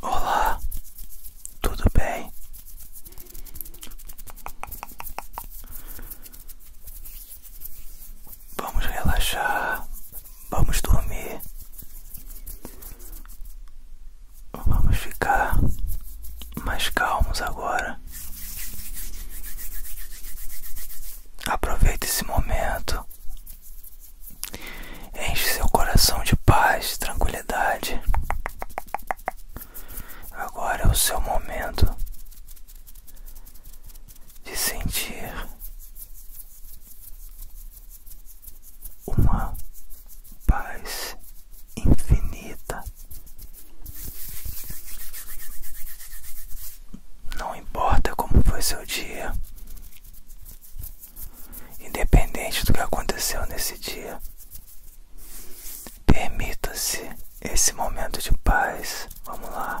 Olá, tudo bem? Vamos relaxar, vamos dormir, vamos ficar mais calmos agora. Aproveite esse momento Enche seu coração de paz, tranquilidade. Agora é o seu momento de sentir uma paz infinita. Não importa como foi seu dia, Independente do que aconteceu nesse dia, permita-se esse momento de paz. Vamos lá.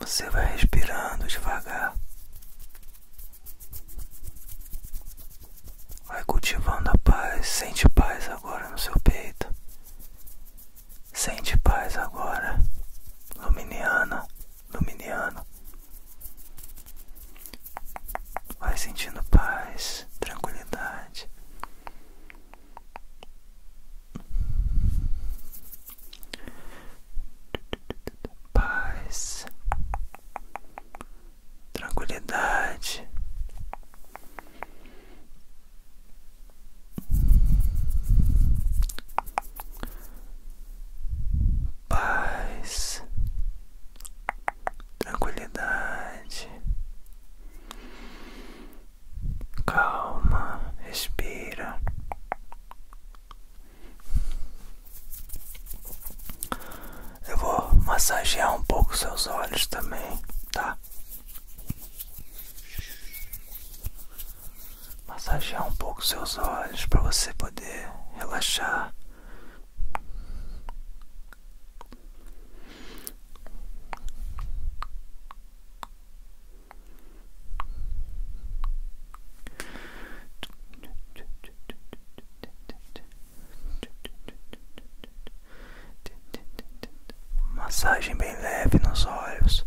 Você vai respirando devagar, vai cultivando a paz. Sente paz agora no seu peito, sente paz agora, Luminiana dominiano, Vai sentindo paz, tranquilidade. Paz, tranquilidade paz, tranquilidade, calma, respira. Eu vou massagear um pouco seus olhos também, tá? massagear um pouco seus olhos para você poder relaxar. Massagem bem leve nos olhos.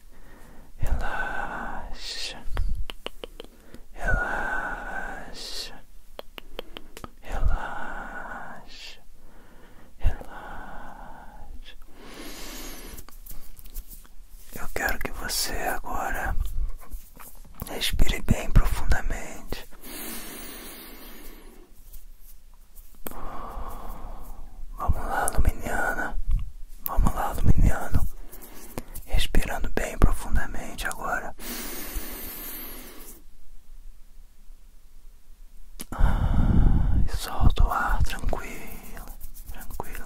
relaxa, relaxa, relaxa, relaxa. Eu quero que você agora respire bem profundamente. Vamos lá, Luminiana. Vamos lá, Luminiano. Respirando bem profundamente agora. Solto o ar tranquilo, tranquilo.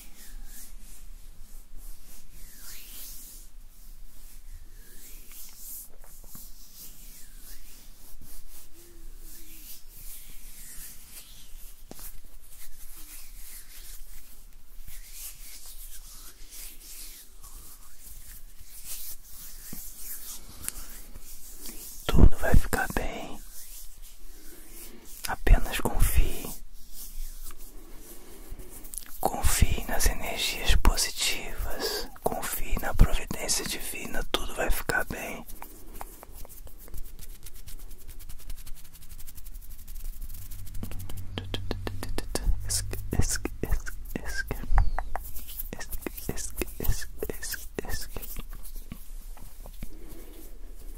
Tudo vai ficar bem. Apenas confie. Confie nas energias positivas. Confie na providência divina. Tudo vai ficar bem.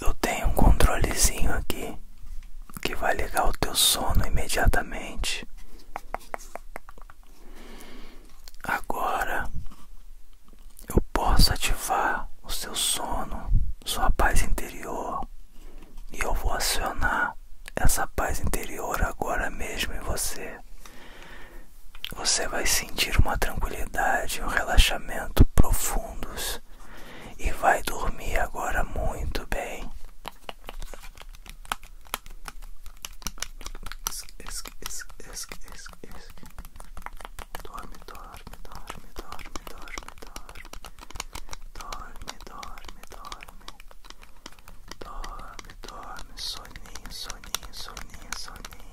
Eu tenho um controlezinho aqui que vai ligar o teu sono imediatamente. Agora eu posso ativar o seu sono, sua paz interior, e eu vou acionar essa paz interior agora mesmo em você. Você vai sentir uma tranquilidade, um relaxamento profundo profundos e vai dormir agora muito bem. Dorme, dorme, dorme, dorme, dorme, dorme. Dorme, dorme, dorme. Dorme, dorme, soninho, soninho, soninho, soninho.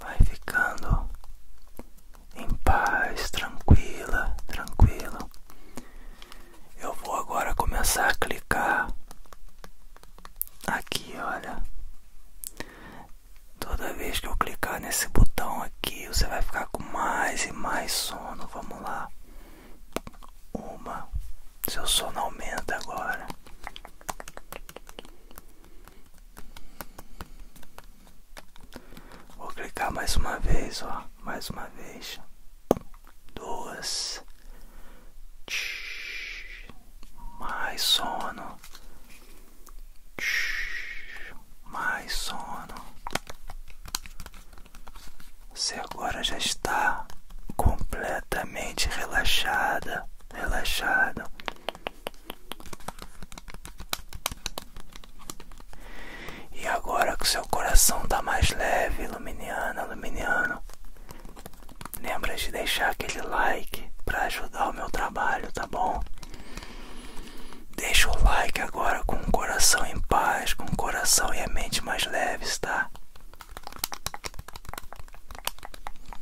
vai ficando em paz, tranquila, tranquilo. Eu vou agora começar a clicar aqui, olha. Toda vez que eu clicar nesse botão aqui, você vai ficar com mais e mais sono. Vamos lá. Uma. Seu sono aumenta agora. Vou clicar mais uma vez, ó, mais uma vez. Duas. Mais sono. Mais sono. Você agora já está completamente relaxada, relaxado. E agora que seu coração tá mais leve, Luminiana, Luminiano, lembra de deixar aquele like para ajudar o meu trabalho, tá bom? Deixa o like agora com o coração em paz, com o coração e a mente mais leves, tá?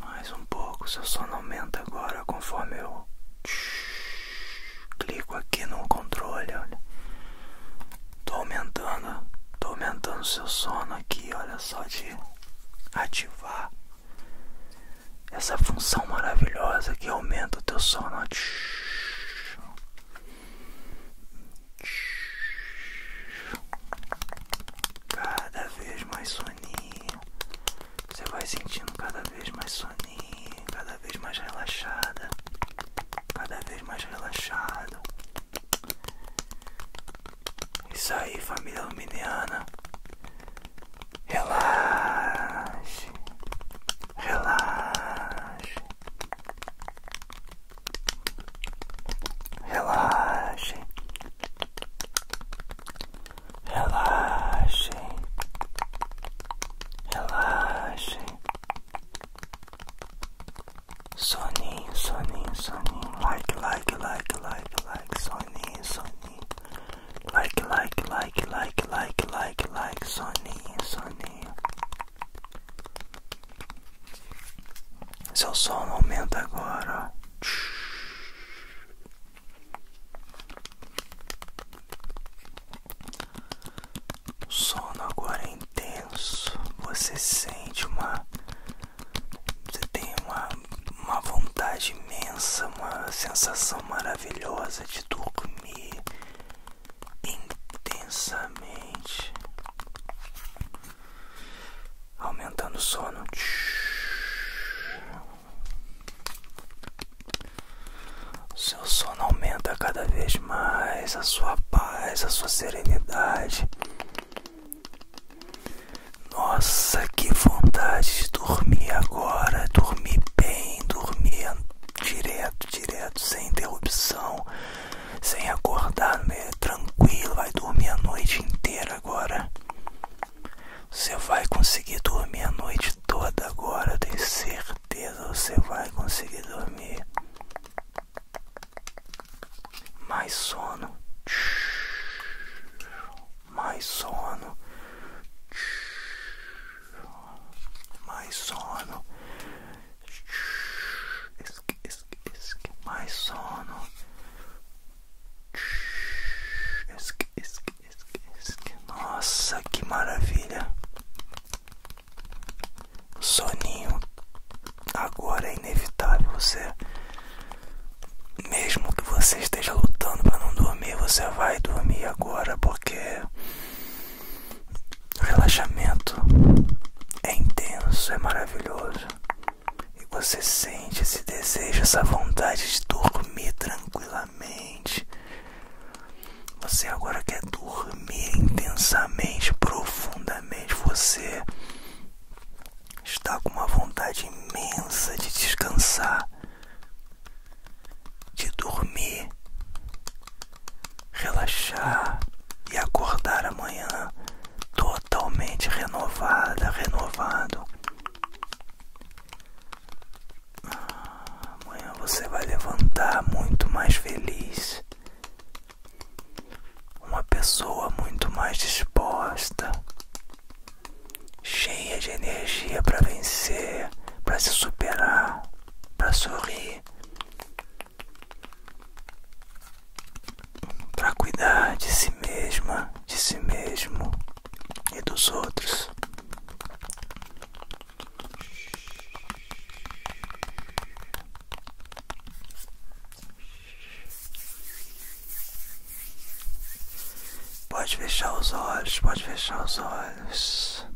Mais um pouco, se seu sono aumenta agora conforme eu clico aqui no controle. Olha. Estou aumentando, tô aumentando seu sono aqui, olha só de ativar essa função maravilhosa que aumenta o teu sono. Cada vez mais soninho. Você vai sentindo cada vez mais soninho, cada vez mais relaxada, cada vez mais relaxado. Isso aí, família luminiana. Relaxe. Relaxe. Relaxe. Relaxe. Relaxe. Soninho, soninho, soninho. Like, like, like, like, like. Soninho, soninho. Like, like, like, like, like, like, like. Soninho, soninho. Seu é som aumenta agora. O sono agora é intenso. Você sente uma. Você tem uma, uma vontade imensa, uma sensação maravilhosa de dormir intensamente. Aumentando o sono. O seu sono aumenta cada vez mais, a sua paz, a sua serenidade nossa, que vontade de dormir agora, dormir bem, dormir direto, direto, sem interrupção, sem acordar, né? tranquilo, vai dormir a noite inteira agora. Você vai conseguir dormir a noite toda agora, tenho certeza, você vai conseguir dormir mais sono, mais sono, mais sono, mais sono, nossa, que maravilha! soninho agora é inevitável. Você, mesmo que você esteja lutando para não dormir, você vai dormir agora porque o relaxamento é intenso, é maravilhoso e você sente esse desejo, essa vontade de dormir tranquilamente. Você agora quer dormir dormir intensamente, profundamente, você está com uma vontade imensa de descansar, de dormir, relaxar e acordar amanhã totalmente renovada, renovado. Amanhã você vai levantar muito mais feliz, uma pessoa muito mais disposta, cheia de energia para vencer, para se superar, para sorrir, para cuidar de si mesma, de si mesmo e dos outros. Pode fechar os olhos, pode fechar os olhos.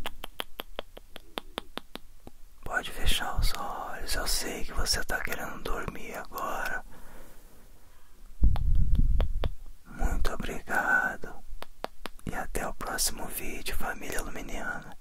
Pode fechar os olhos. Eu sei que você está querendo dormir agora. Muito obrigado. E até o próximo vídeo, família Luminiana.